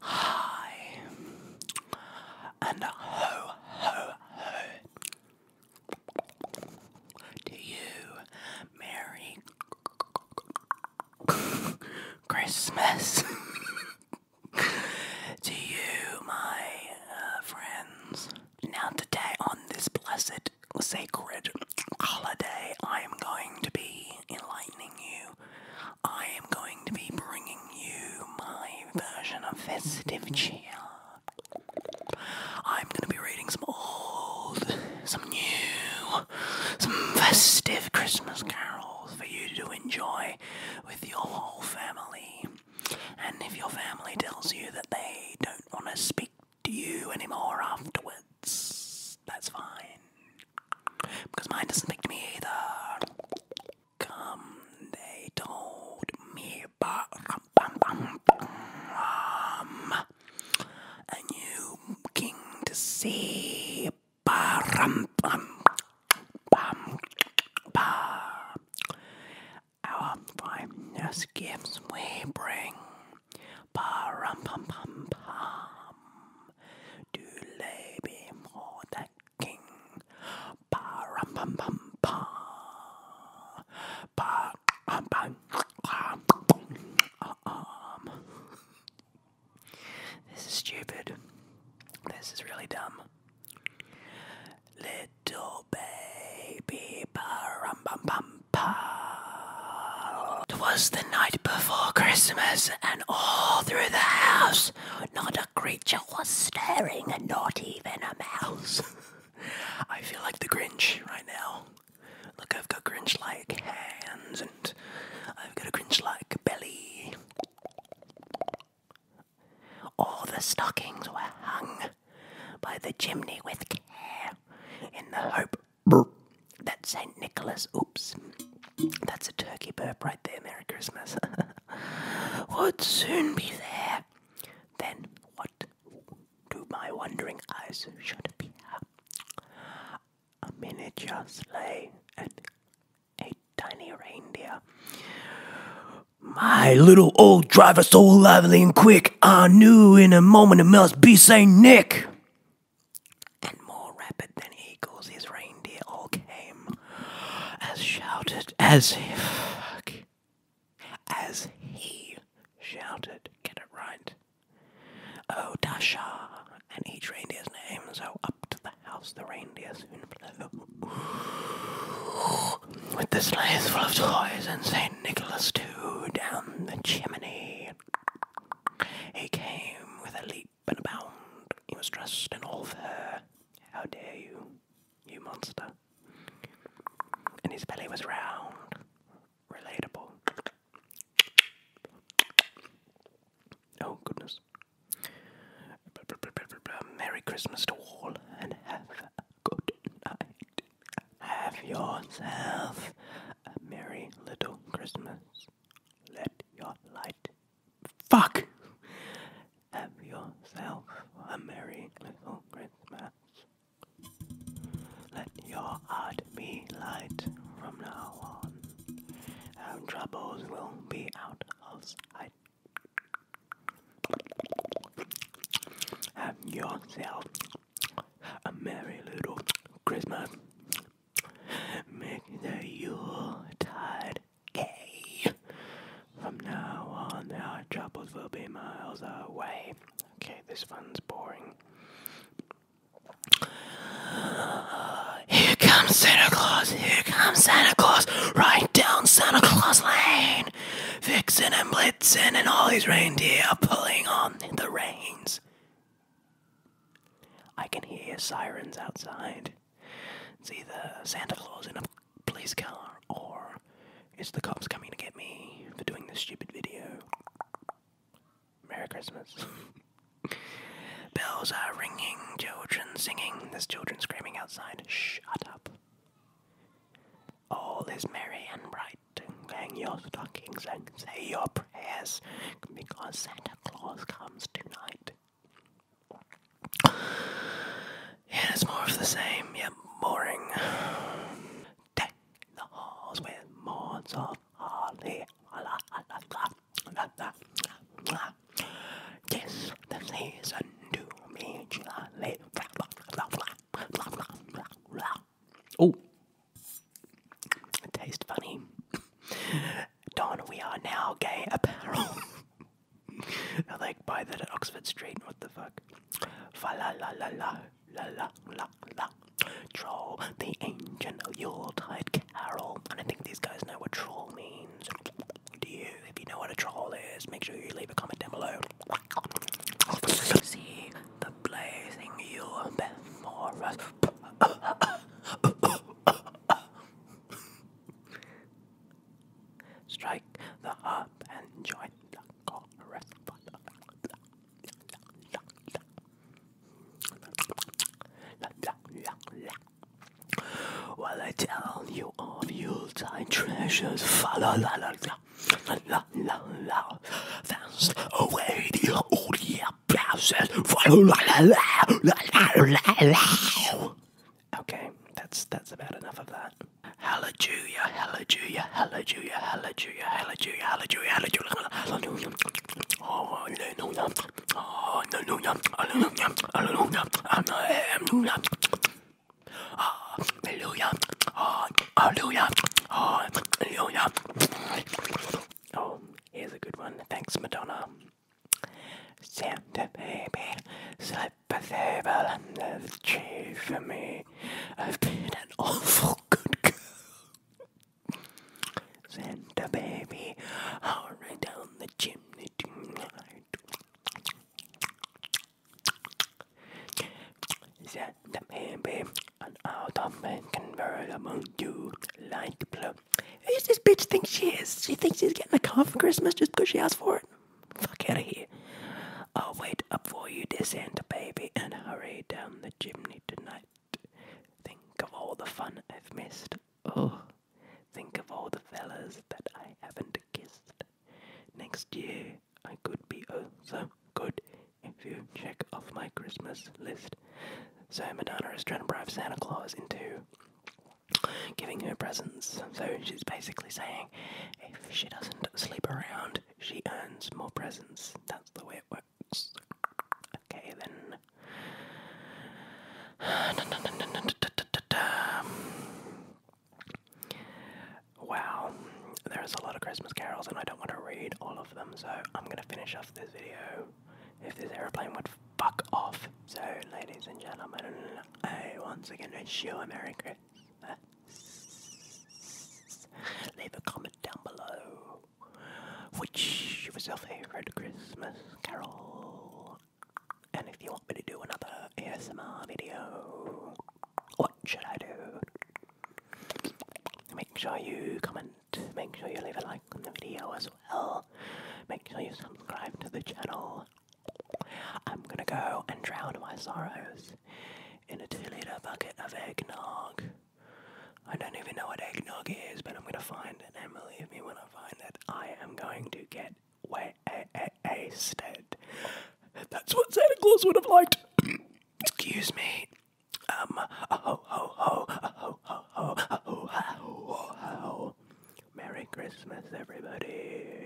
Hi and ho ho ho to you, Merry Christmas. to you, my uh, friends. Now, today on this blessed sacred, holiday, I am going to be enlightening you. I am going to be bringing you my version of festive cheer. I'm going to be reading some old, some new, some festive Christmas carols for you to enjoy with your whole family. And if your family tells you that they don't want to speak to you anymore afterwards. That's fine. Because mine doesn't pick me either. Come, they told me. A new king to see. Our finest gifts we bring Param pam pam pam. Do lay before that king. Param pam pam pam. Param pam pam pam. This is stupid. This is really dumb. Little baby, param pam pam. Grandpa. Twas the night before Christmas, and all through the house, not a creature was stirring, and not even a mouse. I feel like the Grinch right now. Look, I've got Grinch like hands, and I've got a Grinch like belly. All the stockings were hung by the chimney with care in the hope Burp. That's St. Nicholas. Oops. That's a turkey burp right there. Merry Christmas. Would soon be there. Then what do my wondering eyes should appear? A miniature sleigh and a tiny reindeer. My little old driver, so lively and quick, I knew in a moment it must be St. Nick and more rapid than eagles, his reindeer all came, as shouted as if, as he shouted, get it right, oh Dasha, and each reindeer's name. So up to the house the reindeer soon flew, with the sleighs full of toys, and Saint Nicholas too down the chimney he came with a leap and a bound. He was dressed in all fur. How dare you, you monster! And his belly was round, relatable. Oh goodness! Merry Christmas to all, and have a good night. Have yourself a merry little Christmas. Let your light. Fuck! Have yourself a merry little Christmas. Let your heart be light from now on. Our troubles will be out of sight. Have yourself a merry little Christmas. Make the Yuletide gay. From now on, our troubles will be miles away. Okay, this one's boring. Here comes Santa Claus, here comes Santa Claus, right down Santa Claus Lane. Vixen and Blitzen and all his reindeer are pulling on the reins. I can hear sirens outside. It's either Santa Claus in a police car or it's the cops coming to get me for doing this stupid video. Merry Christmas. Bells are ringing, children singing. There's children screaming outside. Shut up. All is merry and bright and hang your stockings and say your prayers because Santa Claus comes tonight. it's more of the same, yet boring. Deck the halls with mourns of holly. Kiss the season to me gently. Oh, taste funny. Don, we are now gay apparel. now they buy that at Oxford Street. What the fuck? Fa la la la la la la la la. Troll, the ancient Yuletide carol. And I think these guys know what troll means. Do you? If you know what a troll is, make sure you leave a comment down below. See the blazing you before us. Strike the harp and join the chorus. While I tell you of Yuletide treasures, fa la la. That's away the only process. Okay, that's that's about enough of that. Hallelujah, hallelujah, hallelujah, hallelujah, hallelujah, hallelujah, hallelujah, oh, hallelujah. Oh, no, no, oh, no, no, no, hallelujah, hallelujah, hallelujah, hallelujah, ah, hallelujah. Ah, Oh, yeah. Oh, here's a good one. Thanks, Madonna. Santa baby, slip a table under the tree for me. I've been an awful good girl. Santa baby, hurry down the chimney tonight. Set the baby and out of man among you like the Who Who's this bitch Thinks she is? She thinks she's getting a car for Christmas just because she asked for it? Fuck out of here. I'll wait up for you, descend, baby, and hurry down the chimney tonight. Think of all the fun I've missed. Oh, think of all the fellas that I haven't kissed. Next year, I could be also good if you check off my Christmas list. So Madonna is trying to bribe Santa Claus into giving her presents. So she's basically saying if she doesn't sleep around, she earns more presents. That's the way it works. Okay then. Wow, there's a lot of Christmas carols, and I don't want to read all of them, so I'm gonna finish off this video. If this airplane would fuck off. So, ladies and gentlemen, I once again wish you a Merry Christmas. Leave a comment down below. Which was your favorite Christmas carol? And if you want me to do another ASMR video, what should I do? Make sure you comment, make sure you leave a like on the video as well, make sure you subscribe to the channel. I'm gonna go and drown my sorrows in a 2 litre bucket of eggnog. I don't even know what eggnog is, but I'm gonna find it, and believe me when I find it, I am going to get wasted. That's what Santa Claus would have liked. Excuse me. Um, ho ho ho, ho ho ho, ho ho ho. Merry Christmas, everybody.